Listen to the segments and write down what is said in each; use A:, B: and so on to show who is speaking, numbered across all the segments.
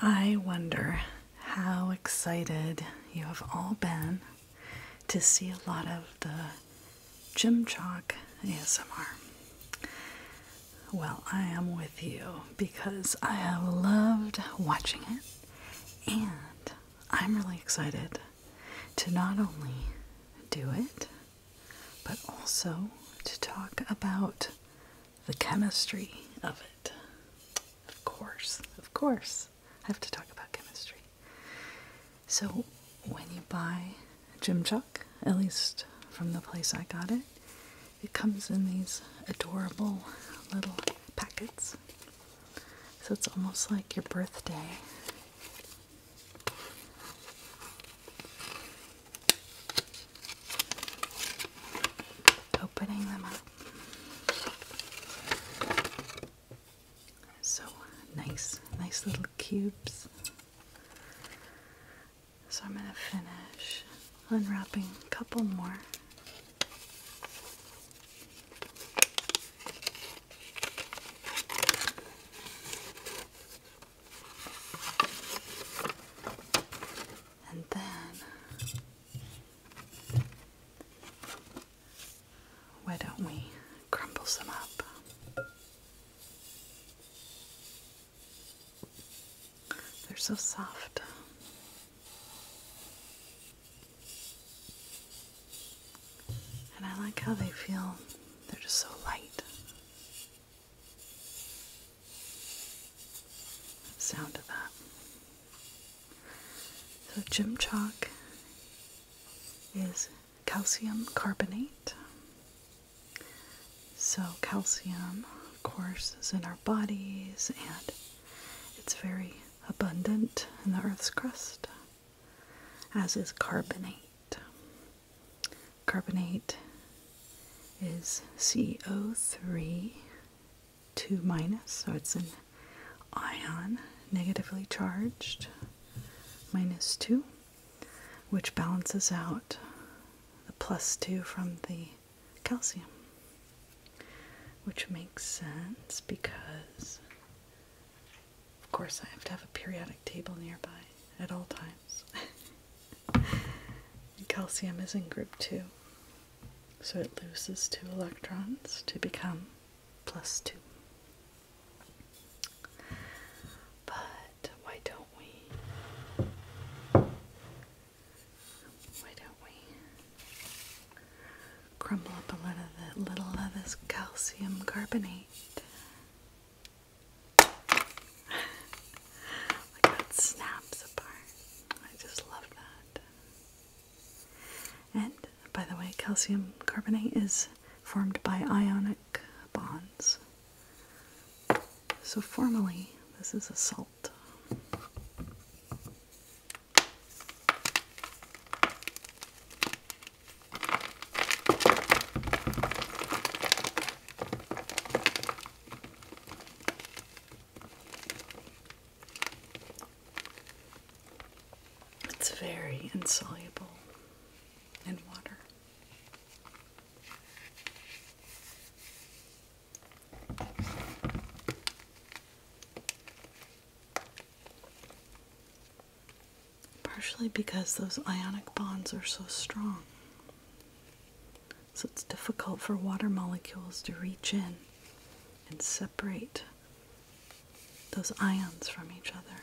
A: I wonder how excited you have all been to see a lot of the Jim Chalk ASMR. Well, I am with you because I have loved watching it and I'm really excited to not only do it but also to talk about the chemistry of it. Of course, of course, I have to talk about chemistry. So, when you buy Jim Chuck, at least from the place I got it, it comes in these adorable little packets. So, it's almost like your birthday opening them up. So nice, nice little cubes. So I'm going to finish unwrapping a couple more. And then, why don't we crumble some up? They're so soft. And I like how they feel, they're just so light sound of that. So gym chalk is calcium carbonate. So calcium, of course, is in our bodies and it's very abundant in the earth's crust, as is carbonate. Carbonate is CO3 2 minus, so it's an ion negatively charged minus 2, which balances out the plus 2 from the calcium, which makes sense because, of course, I have to have a periodic table nearby at all times. calcium is in group 2, so it loses 2 electrons to become plus 2. But why don't we? Why don't we crumble up a little of this calcium carbonate? like snaps apart. I just love that. And by the way, calcium carbonate is formed by ionic bonds. So formally, this is a salt. It's very insoluble in water. Partially because those ionic bonds are so strong. So it's difficult for water molecules to reach in and separate those ions from each other.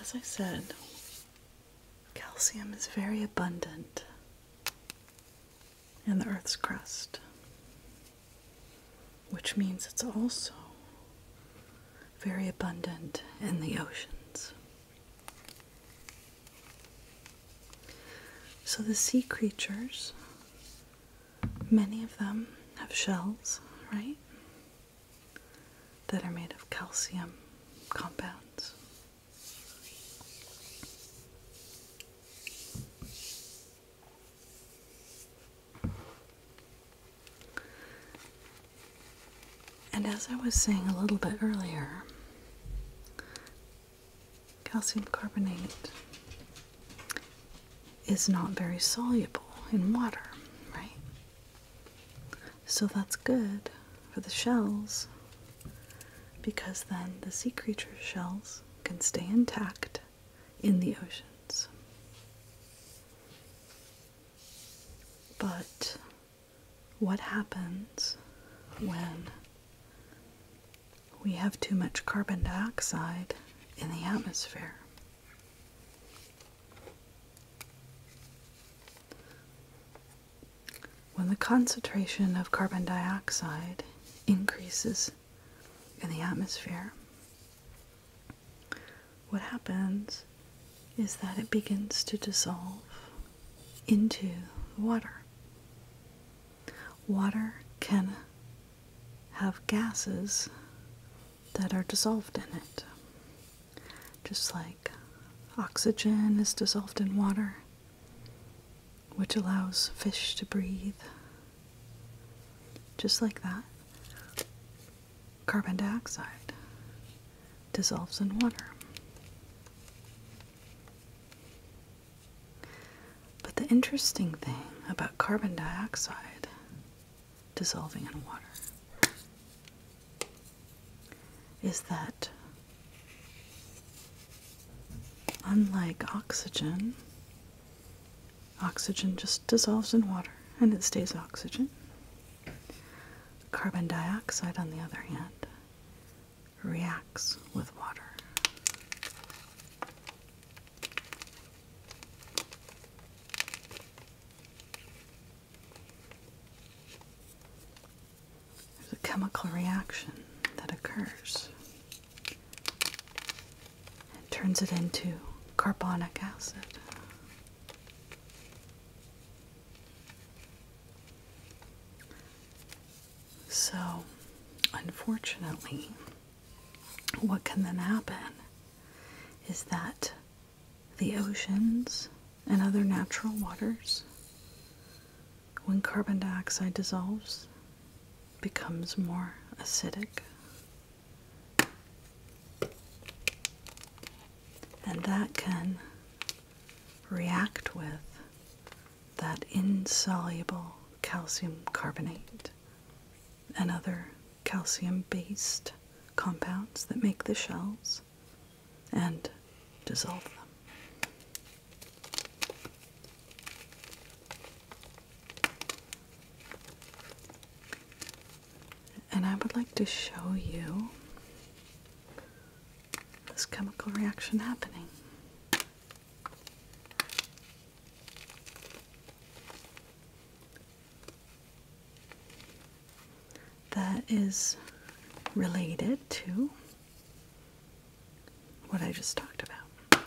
A: As I said, calcium is very abundant in the Earth's crust which means it's also very abundant in the oceans. So the sea creatures, many of them have shells, right? That are made of calcium compounds. And as I was saying a little bit earlier, calcium carbonate is not very soluble in water, right? So that's good for the shells because then the sea creature's shells can stay intact in the oceans. But what happens when we have too much carbon dioxide in the atmosphere? When the concentration of carbon dioxide increases in the atmosphere, what happens is that it begins to dissolve into water. Water can have gases that are dissolved in it, just like oxygen is dissolved in water, which allows fish to breathe. Just like that, carbon dioxide dissolves in water. But the interesting thing about carbon dioxide dissolving in water is that unlike oxygen Oxygen just dissolves in water and it stays oxygen. Carbon dioxide, on the other hand, reacts with water. There's a chemical reaction that occurs and turns it into carbonic acid. So, unfortunately, what can then happen is that the oceans and other natural waters, when carbon dioxide dissolves, becomes more acidic and that can react with that insoluble calcium carbonate and other calcium based compounds that make the shells and dissolve them. And I would like to show you this chemical reaction happening. That is related to what I just talked about.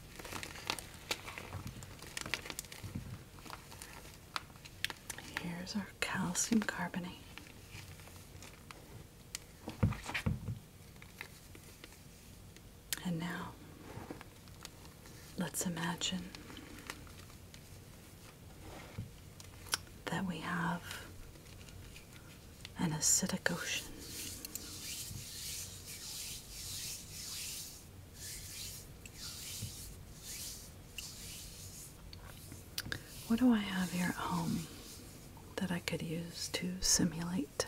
A: Here's our calcium carbonate. And now let's imagine that we have an acidic ocean. What do I have here at home that I could use to simulate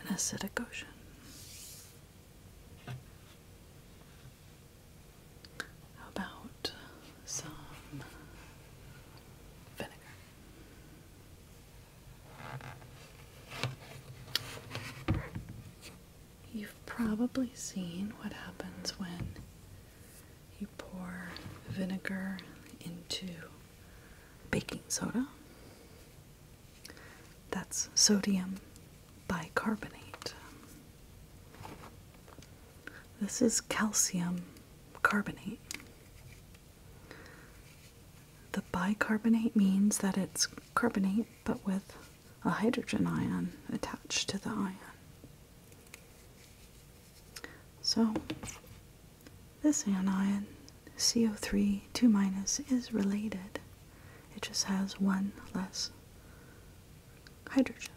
A: an acidic ocean? How about some vinegar? You've probably seen what happens when you pour vinegar into baking soda. That's sodium bicarbonate. This is calcium carbonate. The bicarbonate means that it's carbonate but with a hydrogen ion attached to the ion. So this anion CO3 2 minus is related. It just has one less hydrogen.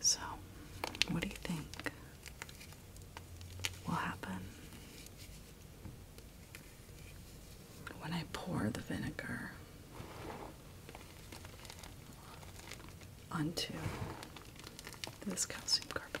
A: So, what do you think will happen when I pour the vinegar onto this calcium carbonate?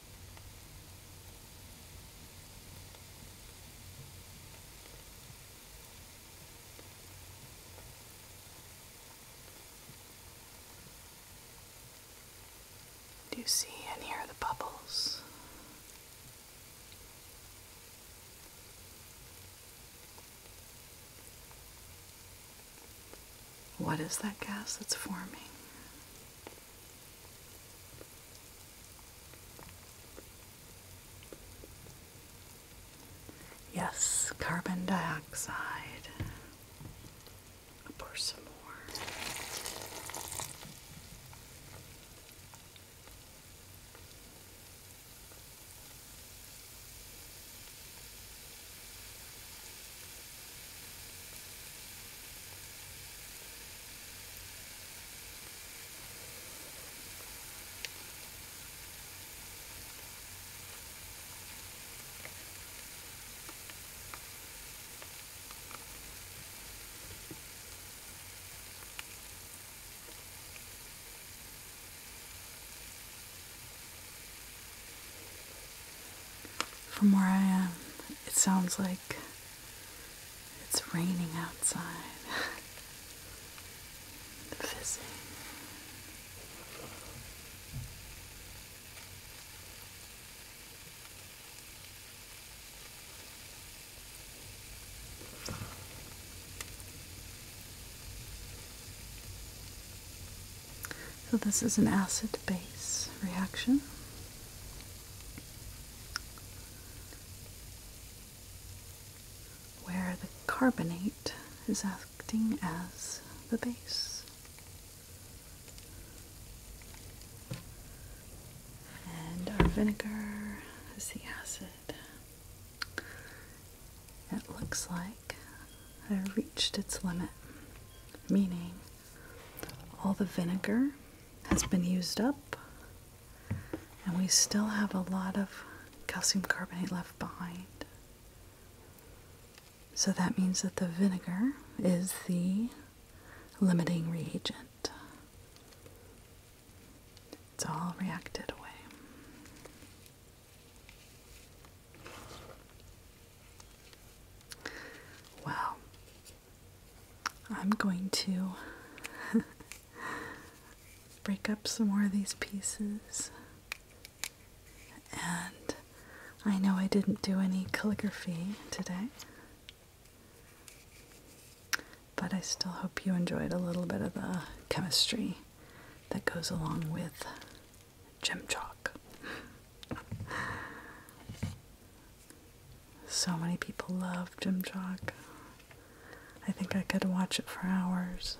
A: Do you see and hear the bubbles? What is that gas that's forming? Yes, carbon dioxide. pour some more. From where I am, it sounds like it's raining outside. Fizzing. So, this is an acid base reaction where the carbonate is acting as the base. And our vinegar is the acid. It looks like I reached its limit, meaning all the vinegar has been used up, and we still have a lot of calcium carbonate left behind. So that means that the vinegar is the limiting reagent. It's all reacted away. Well, I'm going to break up some more of these pieces. And I know I didn't do any calligraphy today, but I still hope you enjoyed a little bit of the chemistry that goes along with gem chalk. So many people love Jim Jock. I think I could watch it for hours.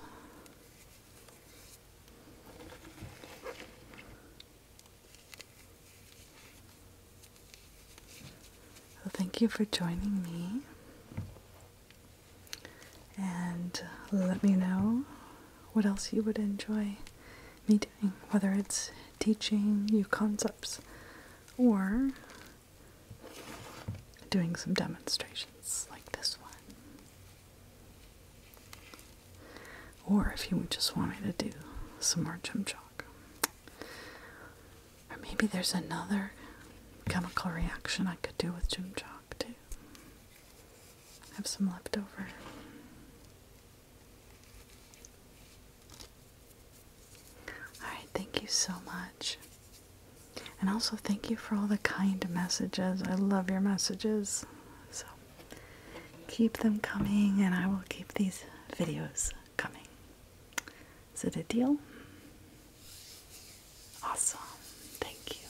A: So thank you for joining me. And let me know what else you would enjoy me whether it's teaching you concepts or doing some demonstrations like this one. Or if you just want me to do some more chim chalk. Or maybe there's another chemical reaction I could do with chim chalk too. I have some left over. Alright, thank you so much. And also, thank you for all the kind messages. I love your messages. So, keep them coming, and I will keep these videos coming. Is it a deal? Awesome. Thank you.